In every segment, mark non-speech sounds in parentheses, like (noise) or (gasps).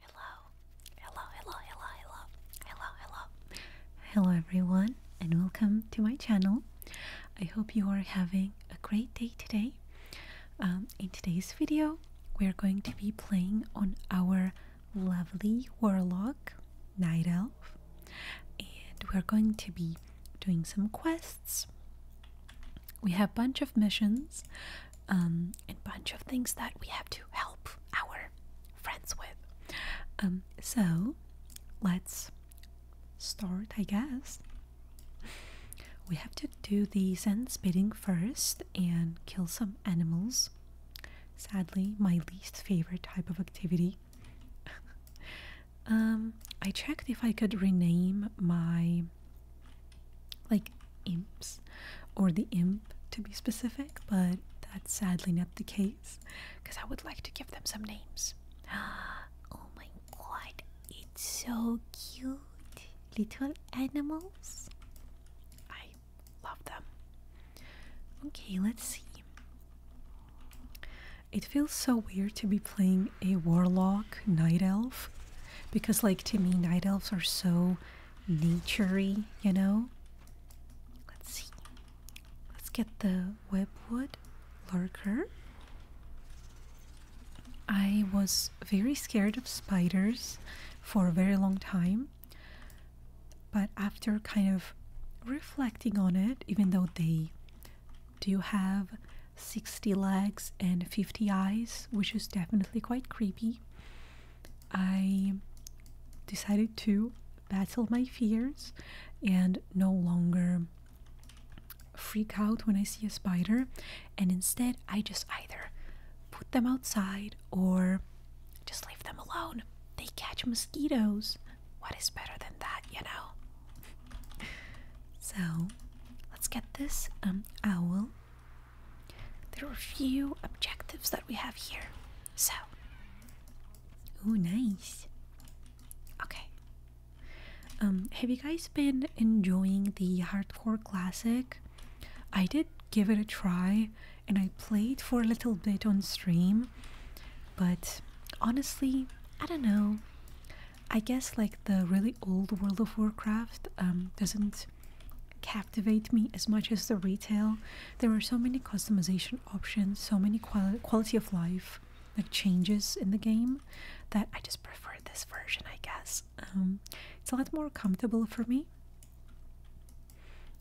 Hello, hello, hello, hello, hello, hello, hello. Hello, everyone, and welcome to my channel. I hope you are having a great day today. Um, in today's video, we're going to be playing on our lovely warlock, Night Elf, and we're going to be doing some quests. We have a bunch of missions um, bunch of things that we have to help our friends with. Um, so let's start, I guess. We have to do the sentence bidding first and kill some animals. Sadly, my least favorite type of activity. (laughs) Um, I checked if I could rename my like imps or the imp to be specific, but that's sadly not the case because I would like to give them some names. (gasps) Oh my god, it's so cute! Little animals. I love them. Okay, let's see. It feels so weird to be playing a warlock night elf because, like, to me, night elves are so naturey, you know. Let's see. Let's get the webwood lurker. I was very scared of spiders for a very long time, but after kind of reflecting on it, even though they do have 60 legs and 50 eyes, which is definitely quite creepy, I decided to battle my fears and no longer freak out when I see a spider, and instead I just either put them outside or just leave them alone. They catch mosquitoes. What is better than that, you know? (laughs) so let's get this um, owl there are a few objectives that we have here. So. Oh, nice. Okay. Um, have you guys been enjoying the hardcore classic? I did give it a try and I played for a little bit on stream, but honestly, I don't know. I guess like the really old World of Warcraft um, doesn't captivate me as much as the retail. There are so many customization options, so many quality of life like changes in the game that I just prefer this version, I guess. Um, it's a lot more comfortable for me.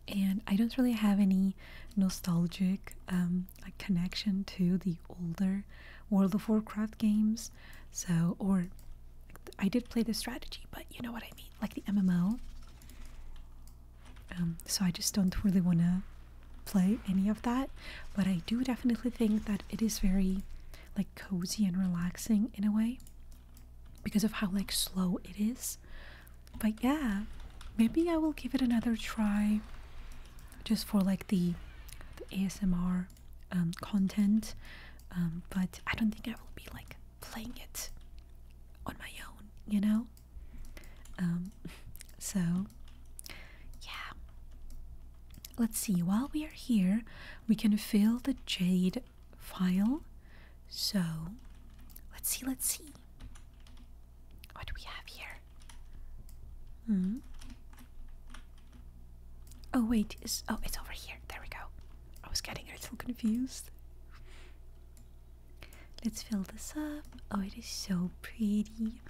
And I don't really have any nostalgic um, like connection to the older World of Warcraft games. So, or I did play the strategy, but you know what I mean like the MMO. Um, so I just don't really want to play any of that, but I do definitely think that it is very like cozy and relaxing in a way because of how like slow it is. But yeah, maybe I will give it another try just for like the, ASMR um, content. Um, but I don't think I will be like playing it on my own, you know? Um, so, yeah. Let's see, while we are here, we can fill the jade file. So, let's see, let's see. What do we have here? Hmm. Oh, wait, is. Oh, it's over here. There we go. I was getting a little confused. Let's fill this up. Oh, it is so pretty.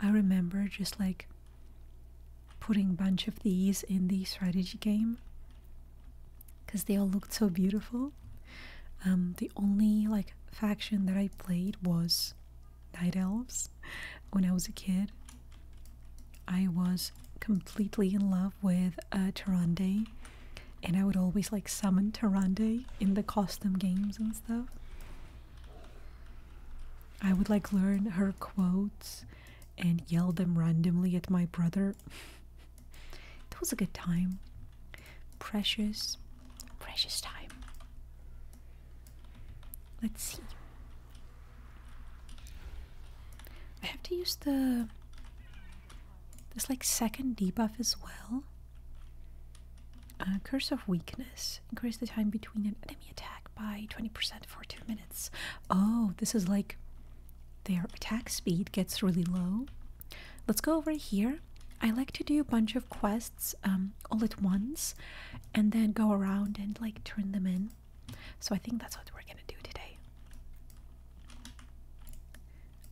I remember just like putting a bunch of these in the strategy game because they all looked so beautiful. Um, the only like faction that I played was Night Elves when I was a kid. I was completely in love with uh, and I would always like summon Tarande in the costume games and stuff. I would like learn her quotes and yell them randomly at my brother. That (laughs) was a good time. Precious, precious time. Let's see. I have to use the there's like second debuff as well. Uh, curse of weakness. Increase the time between an enemy attack by 20% for 2 minutes. Oh, this is like their attack speed gets really low. Let's go over here. I like to do a bunch of quests um, all at once and then go around and like turn them in. So I think that's what we're gonna do today.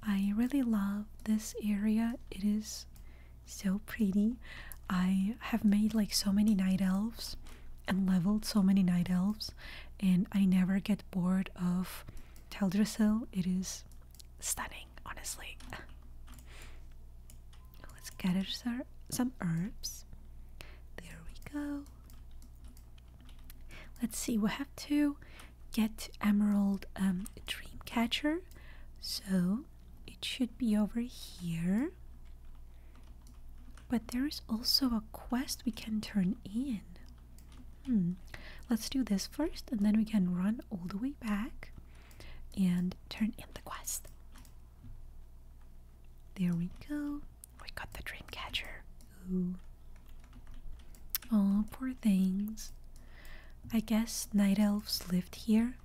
I really love this area. It is so pretty. I have made like so many night elves and leveled so many night elves, and I never get bored of Teldrassil. It is stunning, honestly. (laughs) Let's gather some herbs. There we go. Let's see, we have to get Emerald um, Dreamcatcher. So it should be over here. But there is also a quest we can turn in. Hmm. Let's do this first and then we can run all the way back and turn in the quest. There we go. We got the Dreamcatcher. Ooh. Oh, poor things. I guess night elves lived here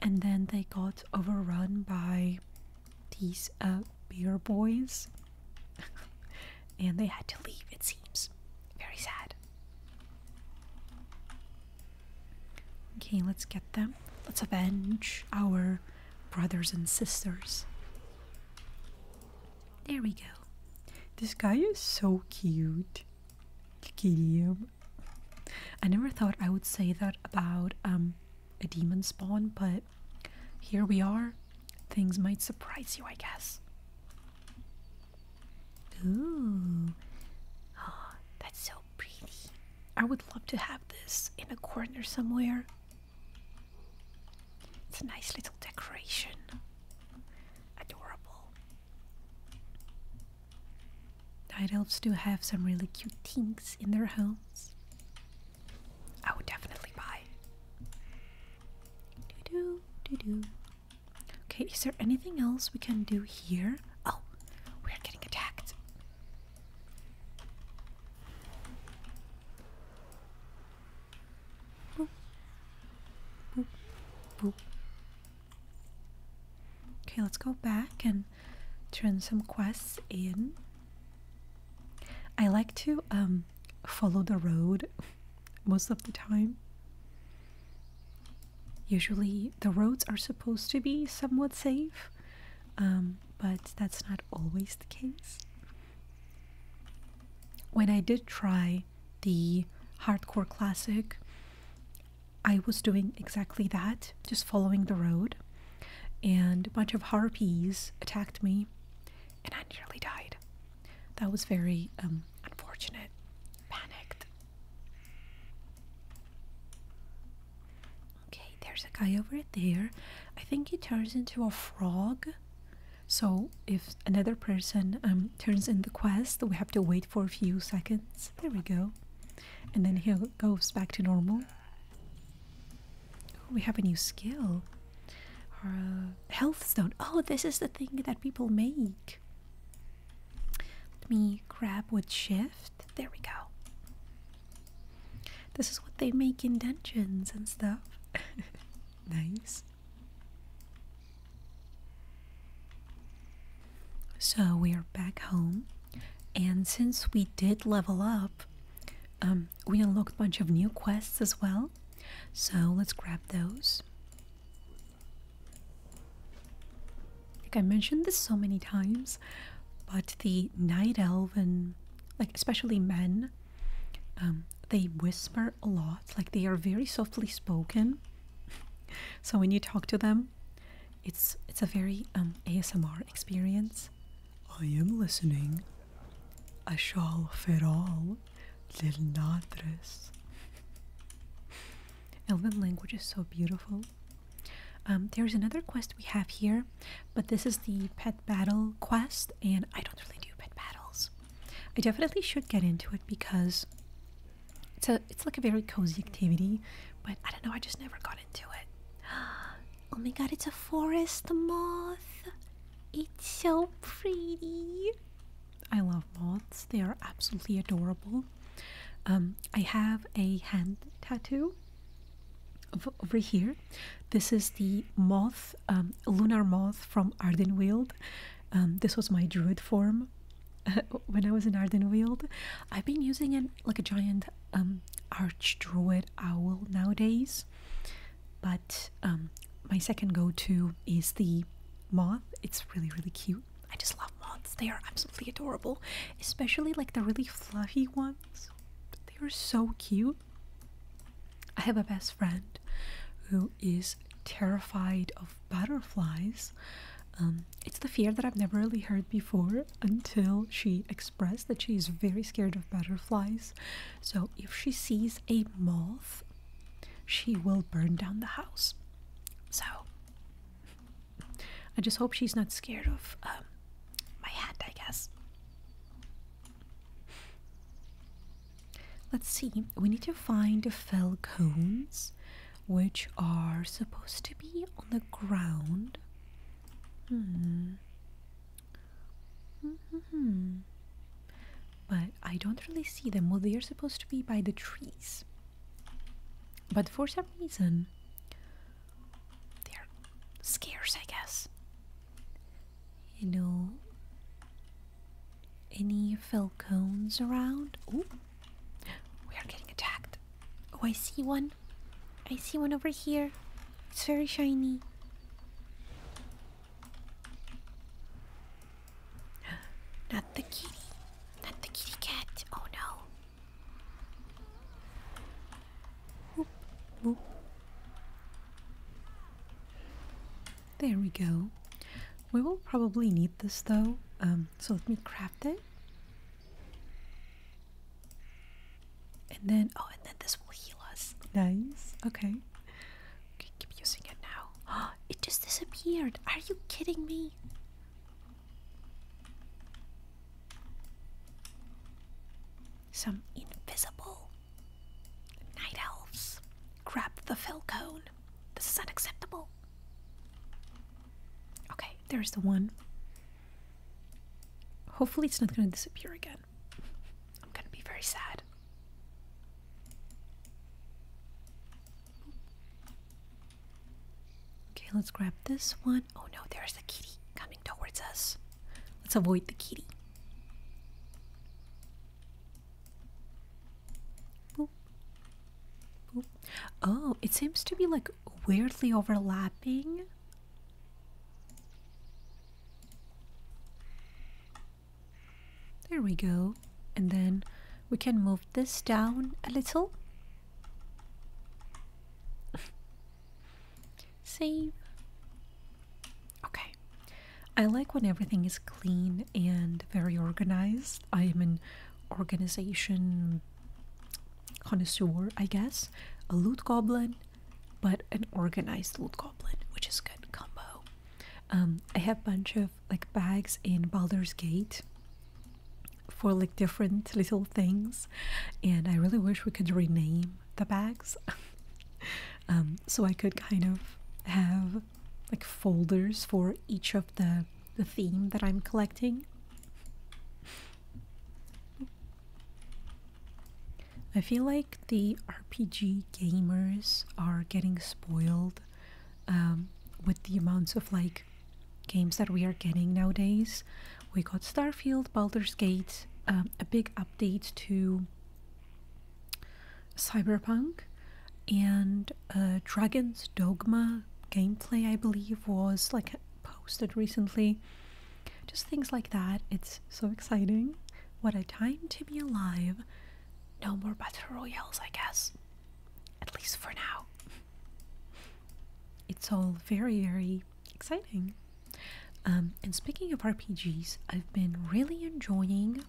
and then they got overrun by these uh, beer boys (laughs) and they had to leave, it seems. Very sad. Okay, let's get them. Let's avenge our brothers and sisters. There we go. This guy is so cute. Look him. I never thought I would say that about um, a demon spawn, but here we are. Things might surprise you, I guess. Ooh. Oh, that's so pretty. I would love to have this in a corner somewhere. It's a nice little decoration. Adorable. Night elves do have some really cute things in their homes. I would definitely buy. Doo -doo, doo okay, is there anything else we can do here? Oh, we're getting attacked. Okay, let's go back and turn some quests in. I like to um, follow the road (laughs) most of the time. Usually the roads are supposed to be somewhat safe, um, but that's not always the case. When I did try the hardcore classic, I was doing exactly that, just following the road, and a bunch of harpies attacked me, and I nearly died. That was very um, unfortunate. Panicked. Okay, there's a guy over there. I think he turns into a frog so if another person um, turns in the quest we have to wait for a few seconds there we go and then he goes back to normal we have a new skill uh, health stone oh this is the thing that people make let me grab with shift there we go this is what they make in dungeons and stuff (laughs) nice so we are back home, and since we did level up, um, we unlocked a bunch of new quests as well. So let's grab those. Like I mentioned this so many times, but the night elf and like especially men um, they whisper a lot, like they are very softly spoken. (laughs) so when you talk to them, it's it's a very um, ASMR experience. I am listening. A shawl feral, little nadres. (laughs) Elven language is so beautiful. Um, there's another quest we have here, but this is the pet battle quest, and I don't really do pet battles. I definitely should get into it because it's a it's like a very cozy activity, but I don't know, I just never got into it. (gasps) Oh my god, it's a forest moth. It's so pretty. I love moths. They are absolutely adorable. Um, I have a hand tattoo over here this is the moth, um, lunar moth from Ardenweald. Um, this was my druid form (laughs) when I was in Ardenweald. I've been using it like a giant um, arch druid owl nowadays, but um, my second go-to is the moth. It's really really cute. I just love moths. They are absolutely adorable, especially like the really fluffy ones. They are so cute. I have a best friend who is terrified of butterflies. Um, it's the fear that I've never really heard before until she expressed that she is very scared of butterflies. So if she sees a moth, she will burn down the house. So I just hope she's not scared of um, my hat, I guess. Let's see, we need to find the fell cones which are supposed to be on the ground. Hmm. Hmm. But I don't really see them. Well, they are supposed to be by the trees. But for some reason, they're scarce, I guess you know, any falcons around? Ooh, we are getting attacked. Oh, I see one. I see one over here. It's very shiny. (gasps) Not the kitty. Not the kitty cat. Oh no. There we go. We will probably need this though, um, so let me craft it. And then, oh, and then this will heal us. Nice. Okay. Okay, keep using it now. (gasps) it just disappeared. Are you kidding me? Some invisible Night elves, grab the fel cone. This is unacceptable. Okay, there's the one. Hopefully, it's not going to disappear again. I'm going to be very sad. Okay, let's grab this one. Oh no, there's the kitty coming towards us. Let's avoid the kitty. Oh, it seems to be like weirdly overlapping. There we go. And then we can move this down a little. (laughs) Save. Okay. I like when everything is clean and very organized. I am an organization connoisseur, I guess. A loot goblin, but an organized loot goblin, which is good combo. Um, I have a bunch of like bags in Baldur's Gate for like different little things, and I really wish we could rename the bags. (laughs) Um, so I could kind of have like folders for each of the the theme that I'm collecting. I feel like the RPG gamers are getting spoiled um, with the amounts of like games that we are getting nowadays. We got Starfield, Baldur's Gate, um, a big update to Cyberpunk, and uh, Dragon's Dogma gameplay, I believe, was like posted recently. Just things like that. It's so exciting. What a time to be alive. No more battle royals, I guess. At least for now. (laughs) It's all very, very exciting. Um, and speaking of RPGs, I've been really enjoying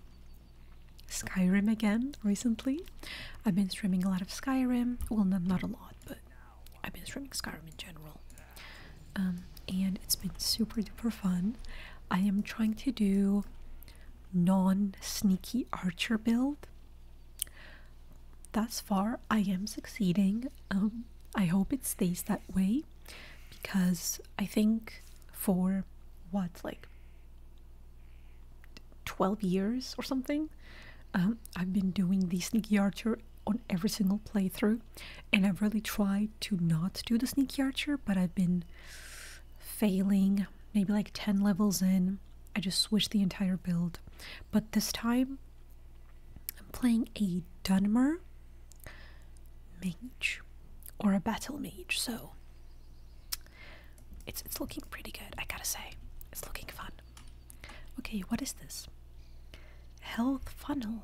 Skyrim again recently. I've been streaming a lot of Skyrim. Well, not, a lot, but I've been streaming Skyrim in general. Um, and it's been super duper fun. I am trying to do non sneaky archer build. Thus far, I am succeeding. Um, I hope it stays that way because I think for what, like 12 years or something, um, I've been doing the sneaky archer on every single playthrough, and I've really tried to not do the sneaky archer, but I've been failing maybe like 10 levels in. I just switched the entire build, but this time I'm playing a Dunmer mage or a battle mage, so it's it's looking pretty good, I gotta say. It's looking fun. Okay, what is this? Health funnel.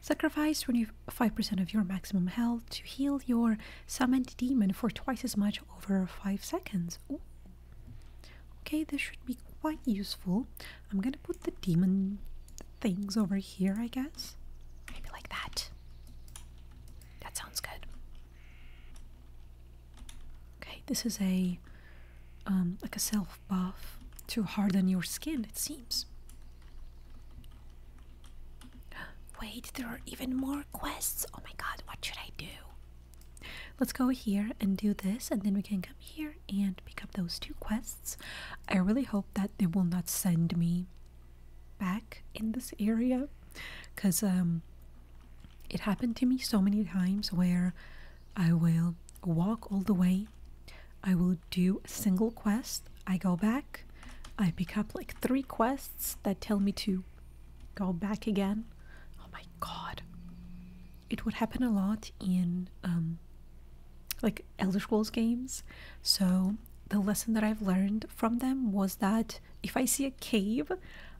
Sacrifice 25% of your maximum health to heal your summoned demon for twice as much over 5 seconds. Okay, this should be quite useful. I'm gonna put the demon things over here, I guess. Maybe like that. That sounds good. Okay, this is a um, like a self buff to harden your skin, it seems. (gasps) Wait, there are even more quests. Oh my god, what should I do? Let's go here and do this, and then we can come here and pick up those two quests. I really hope that they will not send me back in this area because um, it happened to me so many times where I will walk all the way, I will do a single quest, I go back, I pick up like three quests that tell me to go back again. Oh my god. It would happen a lot in um, like Elder Scrolls games. So the lesson that I've learned from them was that if I see a cave,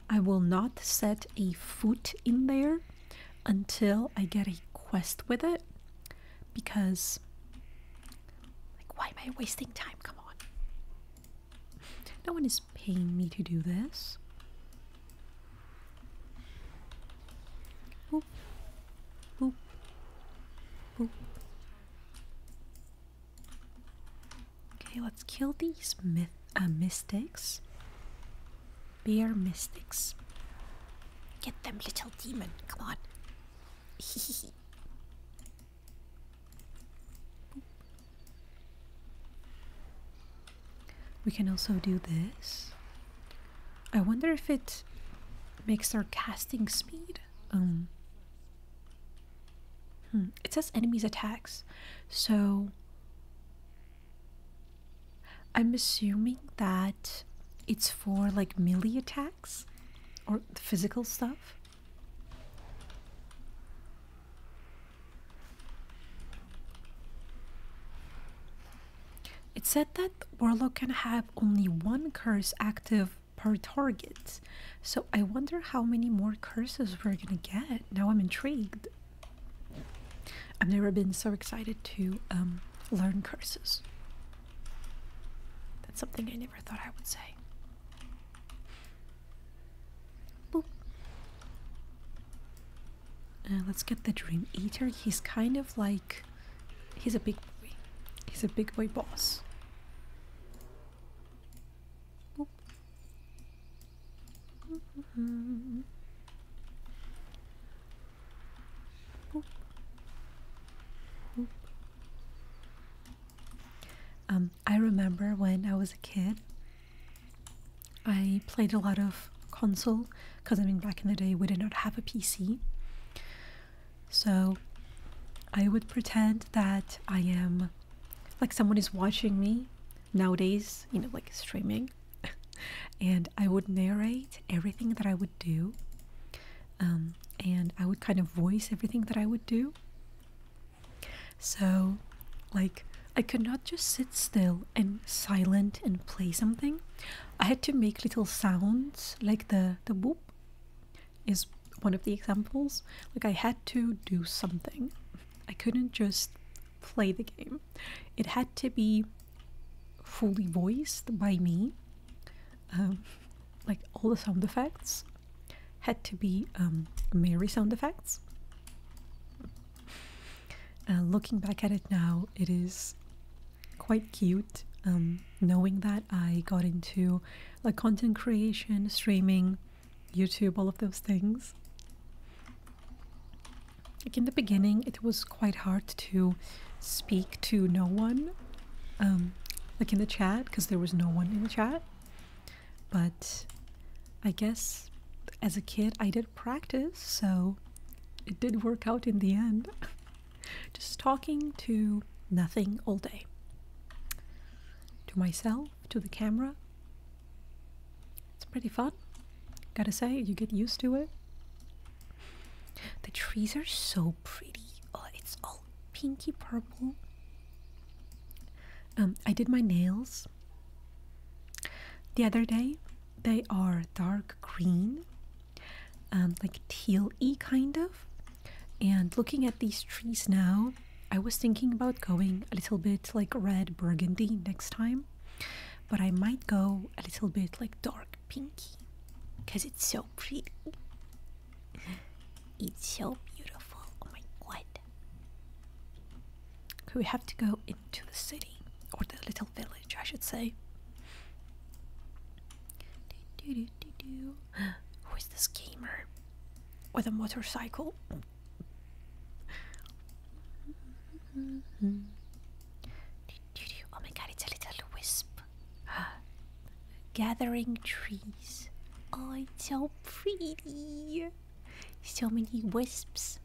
I will not set a foot in there until I get a quest with it because like why am I wasting time? Come on. No one is paying me to do this. Okay, let's kill these myth, uh, mystics. Bear mystics. Get them, little demon. Come on. (laughs) we can also do this. I wonder if it makes our casting speed um Hmm. It says enemies attacks. So I'm assuming that it's for like melee attacks or physical stuff. It said that Warlock can have only one curse active per target. So I wonder how many more curses we're gonna get. Now I'm intrigued. I've never been so excited to um, learn curses. That's something I never thought I would say. Uh, let's get the Dream Eater. He's kind of like. He's a big boy. He's a big boy boss. Um, I remember when I was a kid, I played a lot of console because I mean, back in the day, we did not have a PC. So I would pretend that I am like someone is watching me nowadays, you know, like streaming, (laughs) and I would narrate everything that I would do. Um, and I would kind of voice everything that I would do. So, like, I could not just sit still and silent and play something. I had to make little sounds like the the boop is one of the examples. Like, I had to do something. I couldn't just play the game. It had to be fully voiced by me. Um, like, all the sound effects had to be um, Mary sound effects. Uh, looking back at it now, it is quite cute. Um, knowing that I got into like content creation, streaming, YouTube, all of those things. Like in the beginning, it was quite hard to speak to no one, um, like in the chat, because there was no one in the chat. But I guess as a kid, I did practice, so it did work out in the end. (laughs) Just talking to nothing all day to myself, to the camera. It's pretty fun. Gotta say, you get used to it. The trees are so pretty. Oh, it's all pinky purple. Um, I did my nails the other day. They are dark green, um, like teal kind of. And looking at these trees now, I was thinking about going a little bit like red burgundy next time, but I might go a little bit like dark pinky because it's so pretty. It's so beautiful. Oh my god. we have to go into the city or the little village, I should say. (gasps) Who is this gamer with a motorcycle? Oh my god, it's a little wisp. (gasps) Gathering trees. Oh, it's so pretty. So many wisps.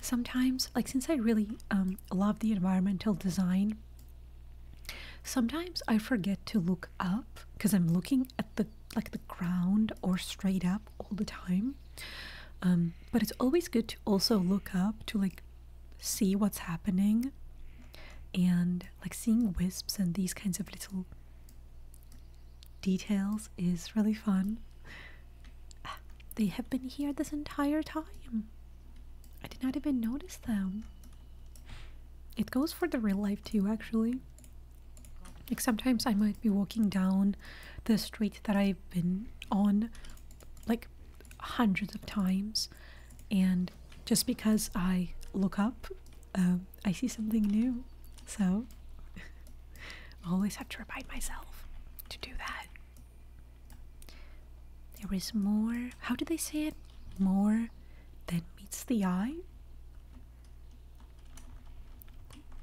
Sometimes, like since I really um, love the environmental design Sometimes I forget to look up because I'm looking at the like the ground or straight up all the time. Um, but it's always good to also look up to like see what's happening and like seeing wisps and these kinds of little details is really fun. Ah, they have been here this entire time. I did not even notice them. It goes for the real life too, actually. Like sometimes I might be walking down the street that I've been on like hundreds of times, and just because I look up, um, I see something new. So I (laughs) always have to remind myself to do that. There is more. How do they say it? More that meets the eye.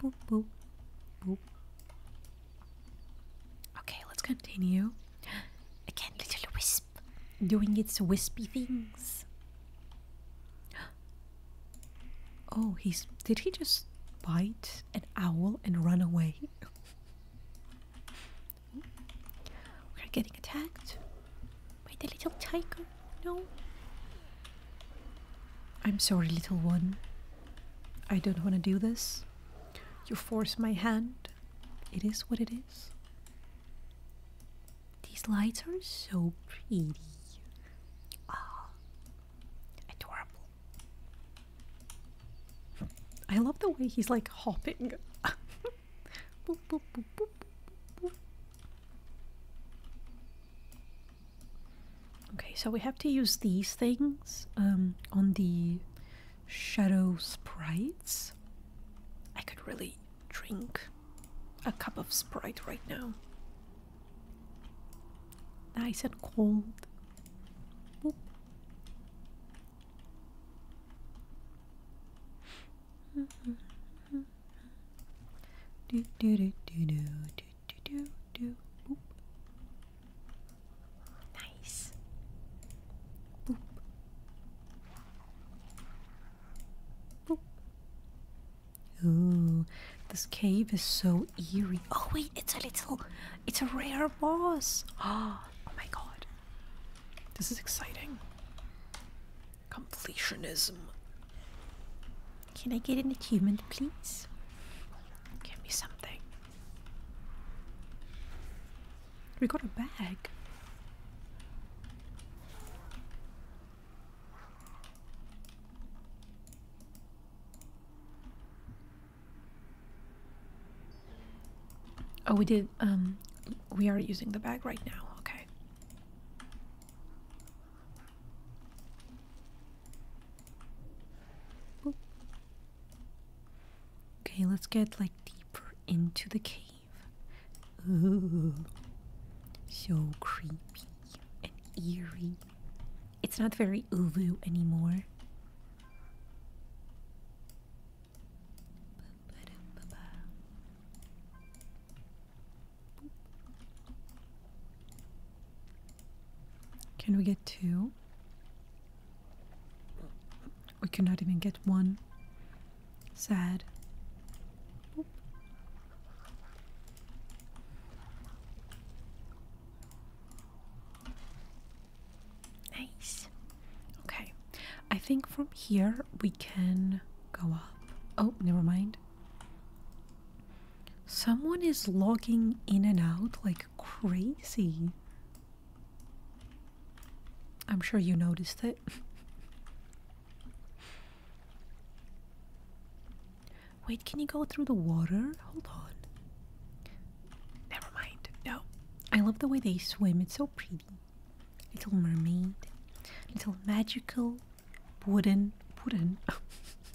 Okay, let's continue. Again, little wisp doing its wispy things. Oh, he's. Did he just bite an owl and run away? (laughs) We're getting attacked. By the little tiger? No. I'm sorry, little one. I don't want to do this. You force my hand. It is what it is. These lights are so pretty. Ah, adorable. I love the way he's like hopping. (laughs) Okay, so we have to use these things um, on the shadow sprites. I could really drink a cup of sprite right now. Nice and cold do do do do do do do do Nice. Boop. Boop. Ooh, this cave is so eerie. Oh wait, it's a little, it's a rare boss. Ah. (gasps) oh my god, this is exciting. Completionism. Can I get an achievement, please? Give me something. We got a bag. Oh, we did, um, we are using the bag right now, okay. Okay, let's get like deeper into the cave. Ooh, so creepy and eerie. It's not very uvu anymore. Can we get two? We cannot even get one. Sad. Nice. Okay. I think from here we can go up. Oh, never mind. Someone is logging in and out like crazy. I'm sure you noticed it. (laughs) Wait, can you go through the water? Hold on. Never mind. No. I love the way they swim. It's so pretty. Little mermaid, little magical wooden, wooden,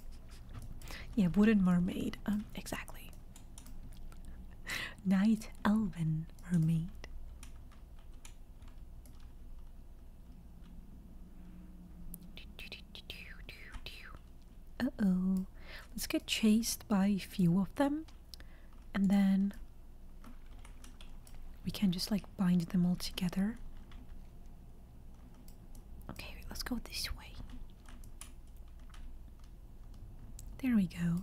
(laughs) yeah, wooden mermaid, um, exactly. Night elven mermaid. Uh oh, let's get chased by a few of them and then we can just like bind them all together. Okay, let's go this way. There we go.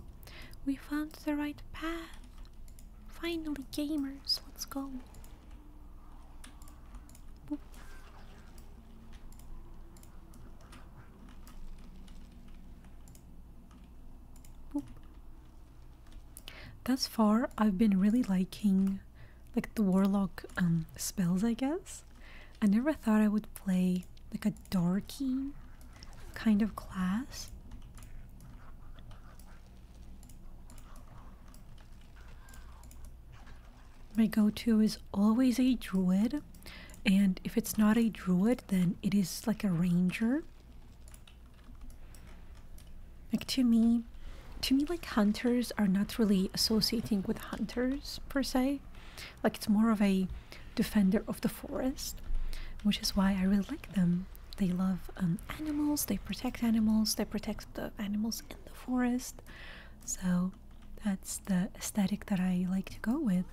We found the right path. Finally, gamers, let's go. Thus far, I've been really liking like the warlock um, spells, I guess. I never thought I would play like a darky kind of class. My go-to is always a druid, and if it's not a druid, then it is like a ranger. Like to me, to me, like hunters are not really associating with hunters per se. Like it's more of a defender of the forest, which is why I really like them. They love um, animals, they protect animals, they protect the animals in the forest. So that's the aesthetic that I like to go with.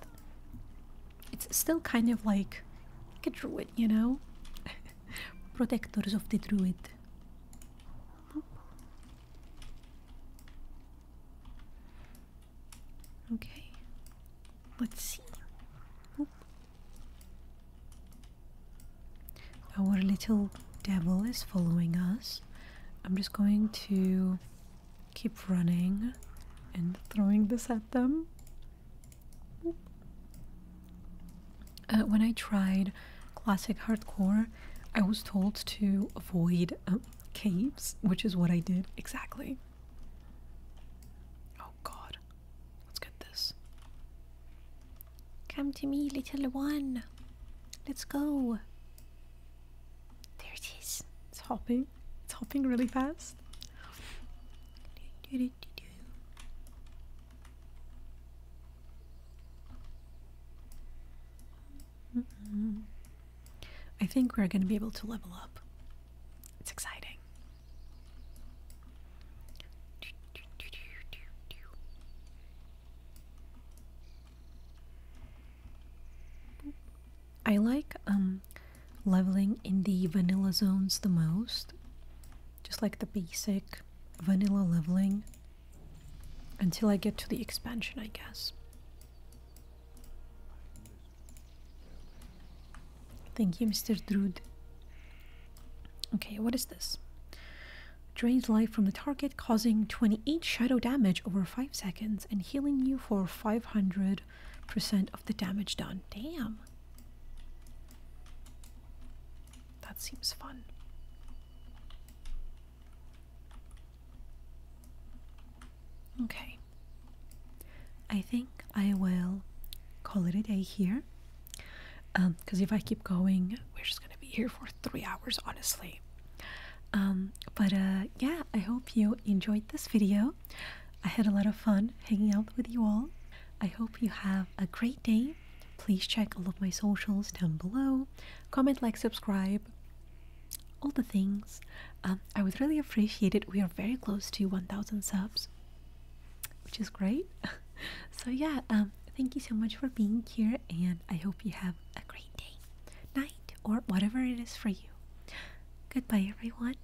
It's still kind of like a druid, you know? (laughs) protectors of the druid. Okay, let's see. Our little devil is following us. I'm just going to keep running and throwing this at them. Uh, when I tried classic hardcore, I was told to avoid um, caves, which is what I did exactly. Oh god. Let's get this. Come to me, little one. Let's go. There it is. It's hopping. It's hopping really fast. I think we're going to be able to level up. It's exciting. I like um, leveling in the vanilla zones the most just like the basic vanilla leveling until I get to the expansion, I guess. Thank you, Mr. Drood. Okay, what is this? Drains life from the target, causing 28 shadow damage over 5 seconds and healing you for 500% of the damage done. Damn. That seems fun. Okay. I think I will call it a day here. Because um, if I keep going, we're just going to be here for three hours, honestly. Um, but uh, yeah, I hope you enjoyed this video. I had a lot of fun hanging out with you all. I hope you have a great day Please check all of my socials down below. Comment, like, subscribe, all the things. Um, I would really appreciate it. We are very close to 1000 subs, which is great. (laughs) so, yeah, um, thank you so much for being here, and I hope you have a great day, night, or whatever it is for you. Goodbye, everyone.